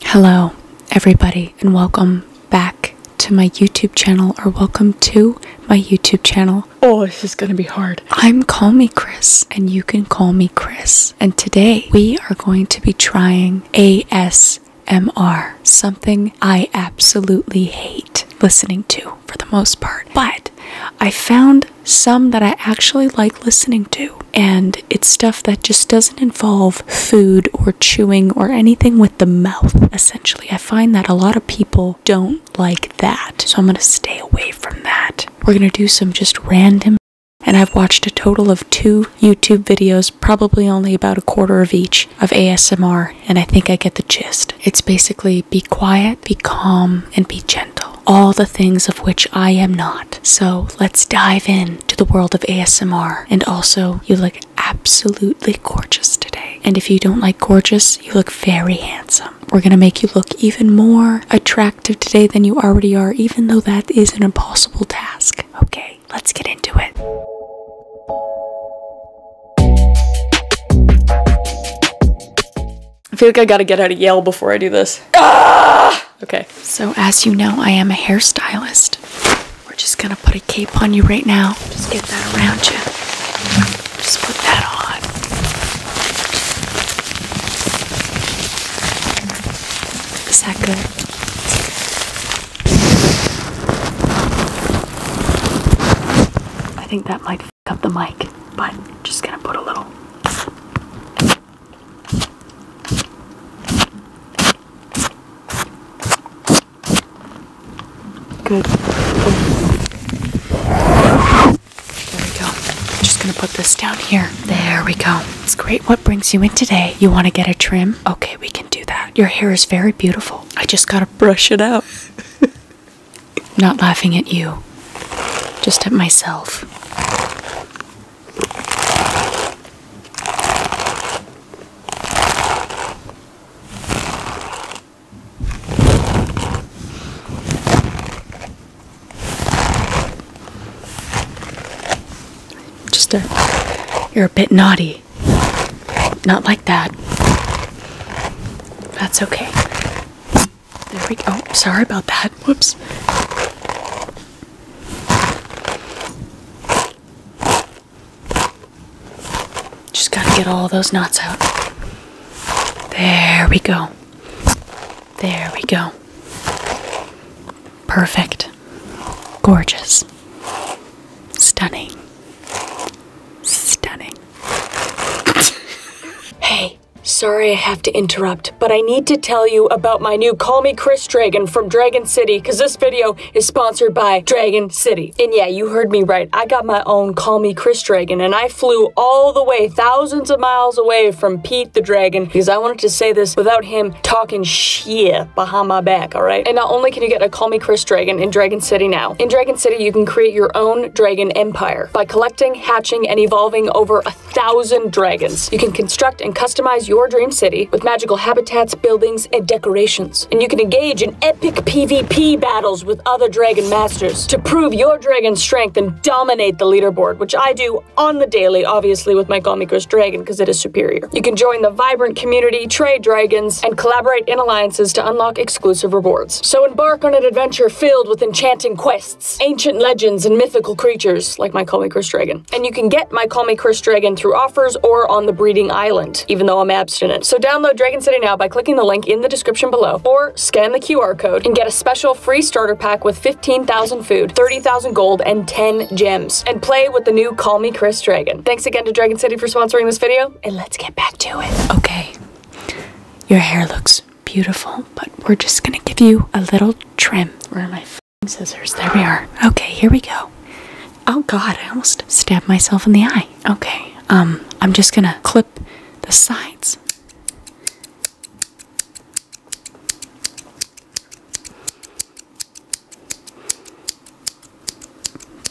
Hello, everybody, and welcome back to my YouTube channel, or welcome to my YouTube channel. Oh, this is gonna be hard. I'm Call Me Chris, and you can call me Chris. And today we are going to be trying ASMR, something I absolutely hate listening to for the most part. But I found some that I actually like listening to and it's stuff that just doesn't involve food or chewing or anything with the mouth essentially i find that a lot of people don't like that so i'm going to stay away from that we're going to do some just random and I've watched a total of two YouTube videos, probably only about a quarter of each, of ASMR, and I think I get the gist. It's basically be quiet, be calm, and be gentle. All the things of which I am not. So let's dive in to the world of ASMR. And also, you look absolutely gorgeous today. And if you don't like gorgeous, you look very handsome. We're gonna make you look even more attractive today than you already are, even though that is an impossible task. Okay, let's get into it. I feel like I gotta get out of Yale before I do this. Ah! Okay. So, as you know, I am a hairstylist. We're just gonna put a cape on you right now. Just get that around you. Just put that on. Is that good? I think that might f up the mic, but just gonna put a little. Good. There we go. I'm just gonna put this down here. There we go. It's great. What brings you in today? You wanna get a trim? Okay, we can do that. Your hair is very beautiful. I just gotta brush it out. Not laughing at you, just at myself. Just a, you're a bit naughty. Not like that. That's okay. There we go. sorry about that. Whoops. Just got to get all those knots out. There we go. There we go. Perfect. Gorgeous. Stunning. Stunning. hey, Sorry I have to interrupt, but I need to tell you about my new Call Me Chris Dragon from Dragon City, because this video is sponsored by Dragon City. And yeah, you heard me right. I got my own Call Me Chris Dragon, and I flew all the way thousands of miles away from Pete the Dragon, because I wanted to say this without him talking shit behind my back, alright? And not only can you get a Call Me Chris Dragon in Dragon City now, in Dragon City you can create your own Dragon Empire by collecting, hatching, and evolving over a thousand dragons. You can construct and customize your dream city with magical habitats, buildings, and decorations. And you can engage in epic PvP battles with other dragon masters to prove your dragon's strength and dominate the leaderboard, which I do on the daily, obviously, with my Gomikos dragon because it is superior. You can join the vibrant community, trade dragons, and collaborate in alliances to unlock exclusive rewards. So embark on an adventure filled with enchanting quests ancient legends, and mythical creatures like My Call Me Chris Dragon. And you can get My Call Me Chris Dragon through offers or on the Breeding Island, even though I'm abstinent. So download Dragon City now by clicking the link in the description below or scan the QR code and get a special free starter pack with 15,000 food, 30,000 gold, and 10 gems. And play with the new Call Me Chris Dragon. Thanks again to Dragon City for sponsoring this video, and let's get back to it. Okay. Your hair looks beautiful, but we're just gonna give you a little trim. Where are my scissors? There we are. Okay, here we go. Oh god, I almost stabbed myself in the eye. Okay, um, I'm just gonna clip the sides.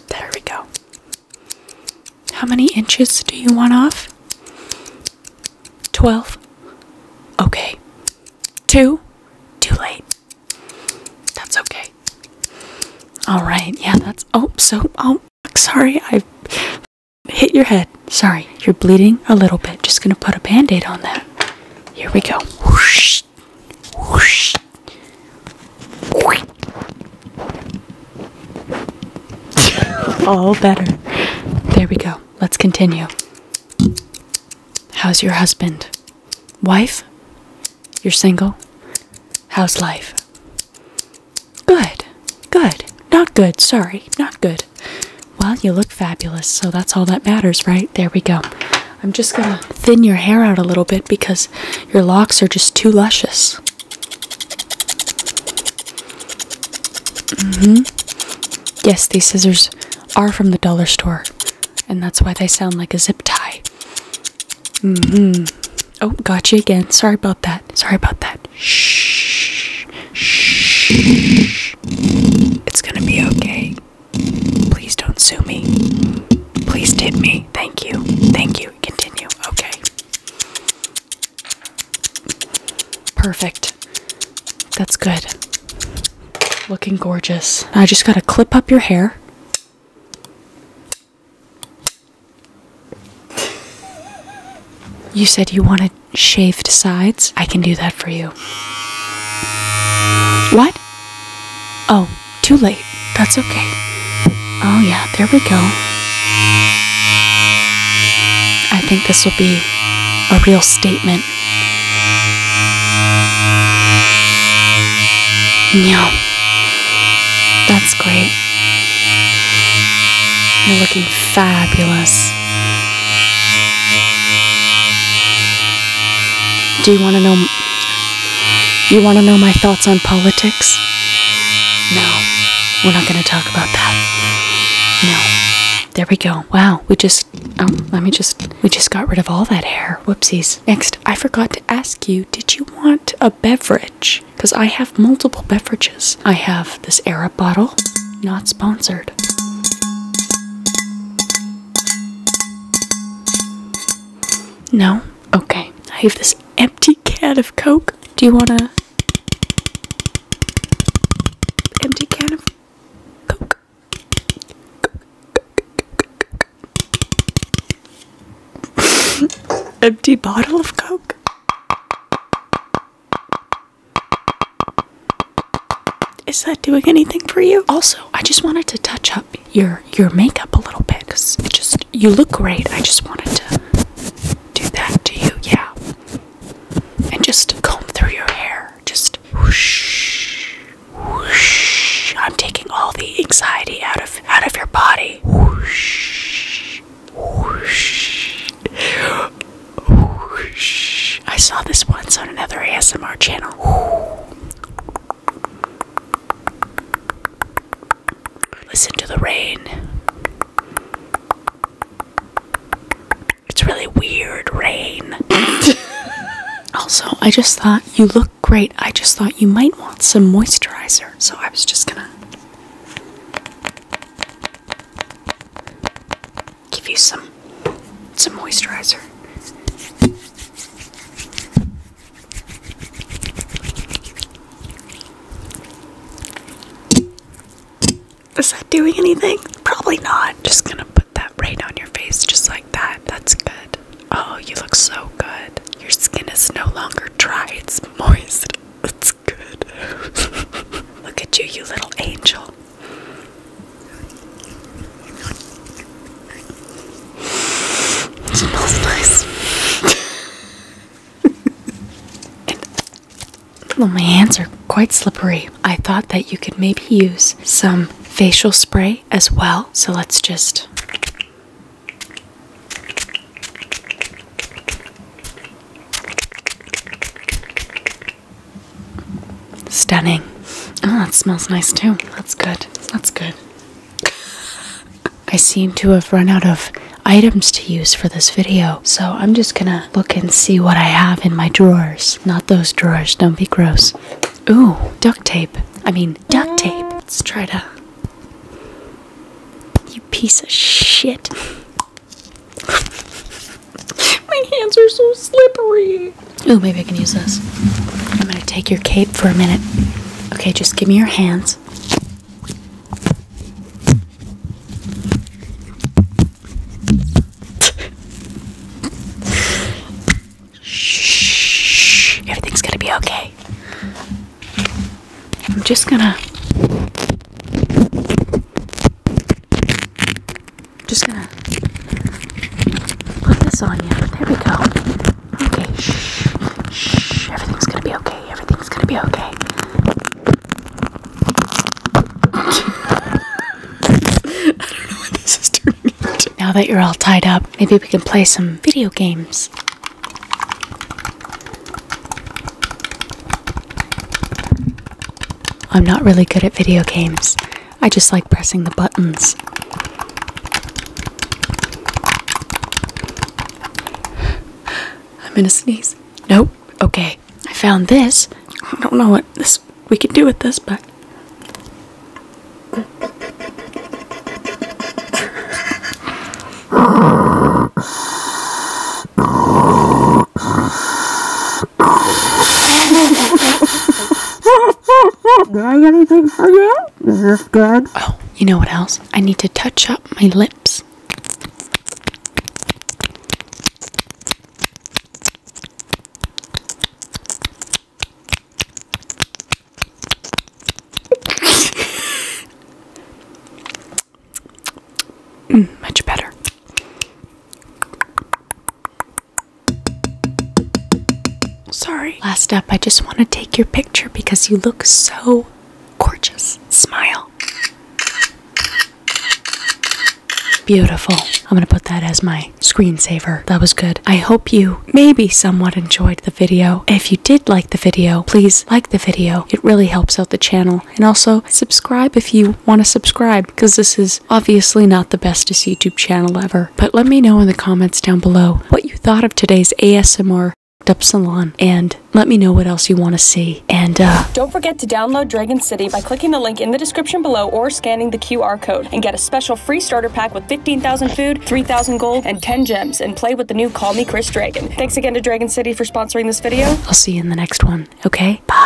There we go. How many inches do you want off? 12. Okay. 2. Too late. That's okay. All right. Yeah, that's. Oh, so. Oh, sorry. I hit your head. Sorry. You're bleeding a little bit. Just going to put a band aid on that. Here we go. Whoosh. Whoosh. Whoosh. All better. There we go. Let's continue. How's your husband? Wife? You're single? How's life? Good. Good. Not good. Sorry. Not good. Well, you look fabulous, so that's all that matters, right? There we go. I'm just gonna thin your hair out a little bit because your locks are just too luscious hmm Yes, these scissors are from the dollar store, and that's why they sound like a zip tie. Mm-hmm. Oh, gotcha again. Sorry about that. Sorry about that. Shh. Shh. It's gonna be okay. Please don't sue me. Please tip me. Thank you. Thank you. Continue. Okay. Perfect. That's good. Looking gorgeous. I just gotta clip up your hair. You said you wanted shaved sides? I can do that for you. What? Oh, too late. That's okay. Oh, yeah, there we go. I think this will be a real statement. Yeah, that's great. You're looking fabulous. Do you want to know? You want to know my thoughts? on politics? No, we're not going to talk about that. No. There we go. Wow, we just, oh, let me just, we just got rid of all that hair. Whoopsies. Next, I forgot to ask you, did you want a beverage? Because I have multiple beverages. I have this Arab bottle, not sponsored. No? Okay. I have this empty can of Coke. Do you want a empty can of Coke? empty bottle of Coke? Is that doing anything for you? Also, I just wanted to touch up your your makeup a little bit because it just you look great. I just wanted to do that to you, yeah. And just comb through your hair. Just whoosh, whoosh. I'm taking all the anxiety out of out of your body. Whoosh, whoosh, whoosh. I saw this once on another ASMR channel. Listen to the rain. It's really weird rain. also, I just thought you look great. I just thought you might want some moisturizer. So I was just gonna give you some some moisturizer. Is that doing anything? Probably not. Just gonna put that right on your face, just like that. That's good. Oh, you look so good. Your skin is no longer dry, it's moist. That's good. look at you, you little angel. It smells nice. and, my hands are quite slippery. I thought that you could maybe use some facial spray as well. So let's just. Stunning. Oh, that smells nice too. That's good. That's good. I seem to have run out of items to use for this video, so I'm just gonna look and see what I have in my drawers. Not those drawers, don't be gross. Ooh, duct tape. I mean, duct tape. Let's try to. You piece of shit. my hands are so slippery. Ooh, maybe I can use this. I'm gonna take your cape for a minute. Okay, just give me your hands. Shh, everything's gonna be okay. I'm just gonna. Just gonna put this on you. There we go. Okay, shh, shh. Everything's gonna be okay. Everything's gonna be okay. Now that you're all tied up, maybe we can play some video games. I'm not really good at video games. I just like pressing the buttons. I'm gonna sneeze. Nope. Okay. I found this. I don't know what this we could do with this, but Oh, you know what else? I need to touch up my lips. Mm, much better. Sorry. Last up, I just want to take your picture because you look so gorgeous. Smile. Beautiful. I'm going to put that as my screensaver. That was good. I hope you maybe somewhat enjoyed the video. If you did like the video, please like the video. It really helps out the channel. And also subscribe if you want to subscribe because this is obviously not the bestest YouTube channel ever, but let me know in the comments down below what you thought of today's ASMR up salon and let me know what else you want to see and uh, don't forget to download dragon city by clicking the link in the description below or scanning the qr code and get a special free starter pack with 15000 food 3000 gold and 10 gems and play with the new call me chris dragon thanks again to dragon city for sponsoring this video i'll see you in the next one okay bye